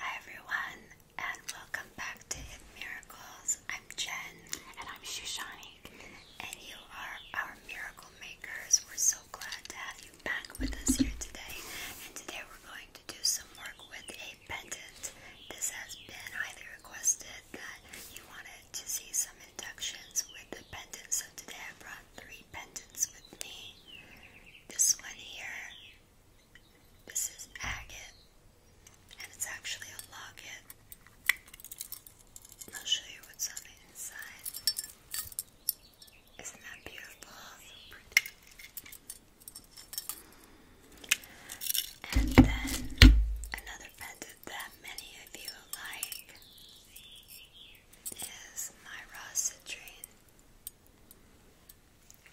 Hi everyone, and welcome back to Hidden Miracles. I'm Jen. And I'm Shushani. And you are our miracle makers. We're so glad to have you back with us here today. And today we're going to do some work with a pendant. This has been highly requested that you wanted to see some inductions with the pendant. So today I brought three this one here, this is agate, and it's actually a locket. I'll show you what's on the inside. Isn't that beautiful? So pretty. And then another pendant that many of you like is my raw citrine.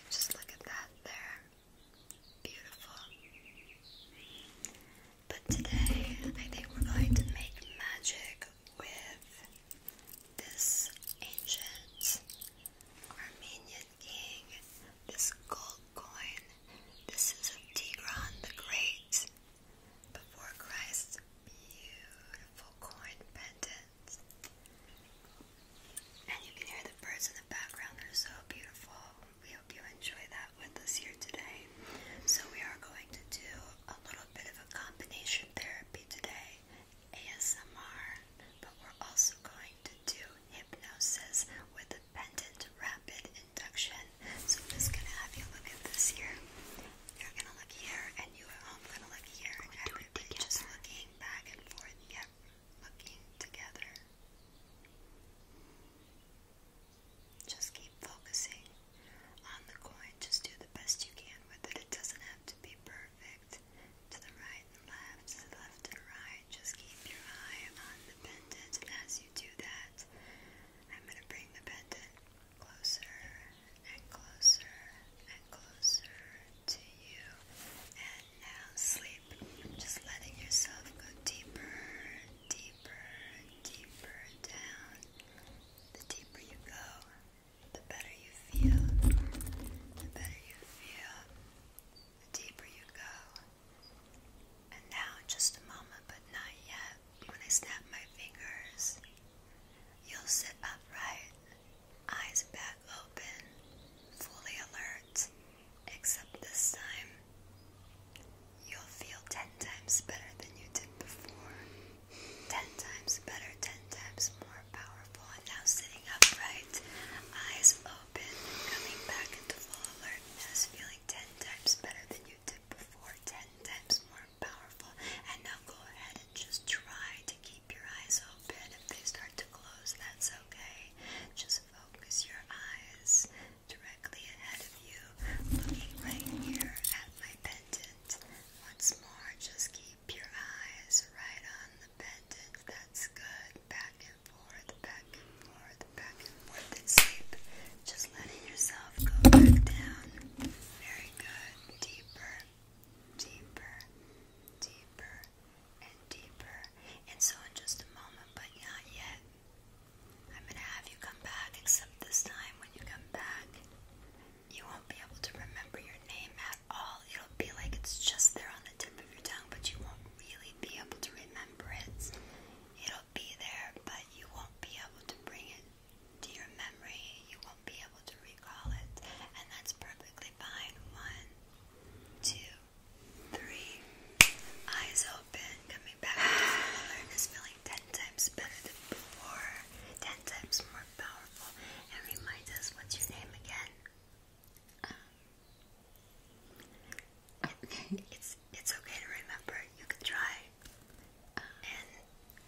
Just look at that there. Beautiful. But today, I think we're going to make magic with this ancient Armenian king, this gold coin. This is of Tigran the Great before Christ's beautiful coin pendants. And you can hear the birds in the background, they're so beautiful. We hope you enjoy that with us here today. So, we are going to do a little bit of a combination therapy today ASMR, but we're also going to do hypnosis with a pendant rapid induction so I'm just gonna have you look at this here. You're gonna look here, and you at home gonna look here, and everybody just looking back and forth. Yep, looking together. Just keep focusing on the coin. Just do the best you can with it. It doesn't have to be perfect. To the right and left, to the left and right. Just keep your eye on the pendant, as you do that, I'm going to bring the pendant closer and closer and closer to you. And now sleep. Just letting yourself go deeper, deeper, deeper down. The deeper you go, the better you feel. The better you feel, the deeper you go, and now, just a moment, but not yet, when I snap my fingers, you'll sit upright, eyes back open, fully alert, except this time, you'll feel ten times better than you did before. Ten times better, ten times more powerful. And now, sitting upright, eyes open open, coming back into full alertness, feeling 10 times better than you did before, 10 times more powerful. And now go ahead and just try to keep your eyes open. If they start to close, that's okay. Just focus your eyes directly ahead of you, looking right here at my pendant. Once more, just keep your eyes right on the pendant. That's good back and forth, back and forth, back and forth in sleep. Just letting yourself go back down. Very good. Deeper, deeper, deeper, and deeper. And so in just a moment, but not yet. I'm going to have you come back, except this time when you come back, you won't be able to remember your name at all. It'll be like it's just there on the tip of your tongue, but you won't really be able to remember it. It'll be there, but you won't be able to bring it to your memory. You won't be able to recall it, and that's perfectly fine. One, two, three. Eyes open, coming back into awareness, feeling ten times better than before, ten times more powerful. And remind us, what's your name again? Um, it's it's okay to remember. You can try, um, and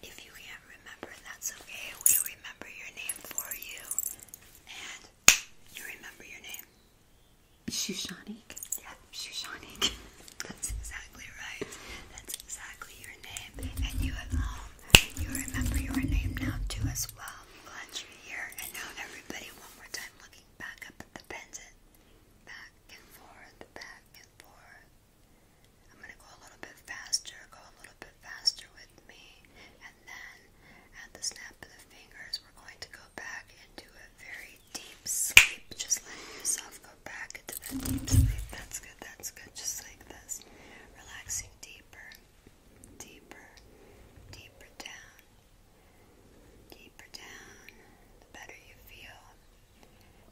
if you can't remember, that's okay. We remember your name for you, and you remember your name. Shushanik. Yeah, Shushanik. That's exactly right. That's exactly your name. And you at home you remember your name now too as well. glad you're here. And now everybody one more time looking back up at the pendant. Back and forth, back and forth. I'm gonna go a little bit faster, go a little bit faster with me, and then at the snap of the fingers, we're going to go back into a very deep sleep. Just letting yourself go back into that deep sleep. That's good, that's good, just like this. Relaxing deep deeper, deeper, deeper down, deeper down, the better you feel.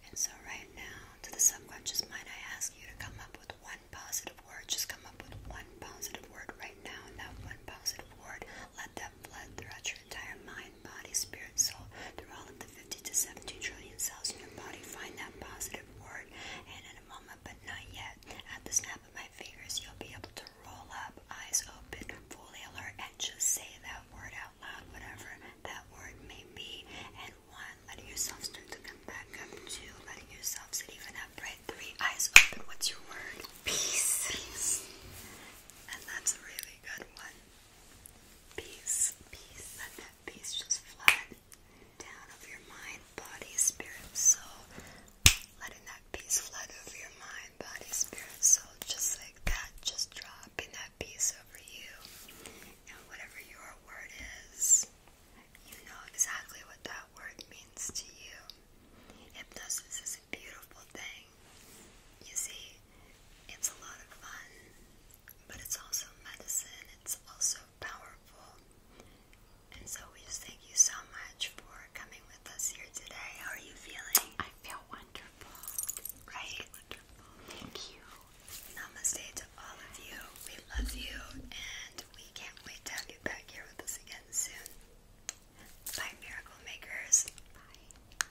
And so, right now, to the subconscious mind, I ask you to come up with one positive word. Just come up with one positive word right now, and that one positive word, let that flood throughout your entire mind, body, spirit, soul, through all of the 50 to 70 trillion cells in your body. Find that positive word in a moment, but not yet. At the snap of my fingers, you'll be able to roll up, eyes open, fully alert, and just say that word out loud, whatever that word may be. And one, letting yourself start to come back up. Two, letting yourself sit even upright. Three, eyes open. What's your word? Peace. Peace. And that's a really good one. Peace. Peace peace just flat down over your mind, body, spirit, soul. Letting that peace flood over your mind, body, spirit, soul. Just like that, just dropping that peace over you. And whatever your word is, you know exactly what that word means to you. Hypnosis is a beautiful thing. You see, it's a lot of fun but it's also medicine, it's also powerful. And so we just thank you so much for coming with us here today. How are you feeling? I feel wonderful. Right? Wonderful. Thank you. Namaste to all of you. We love you and we can't wait to have you back here with us again soon. Bye, Miracle Makers. Bye.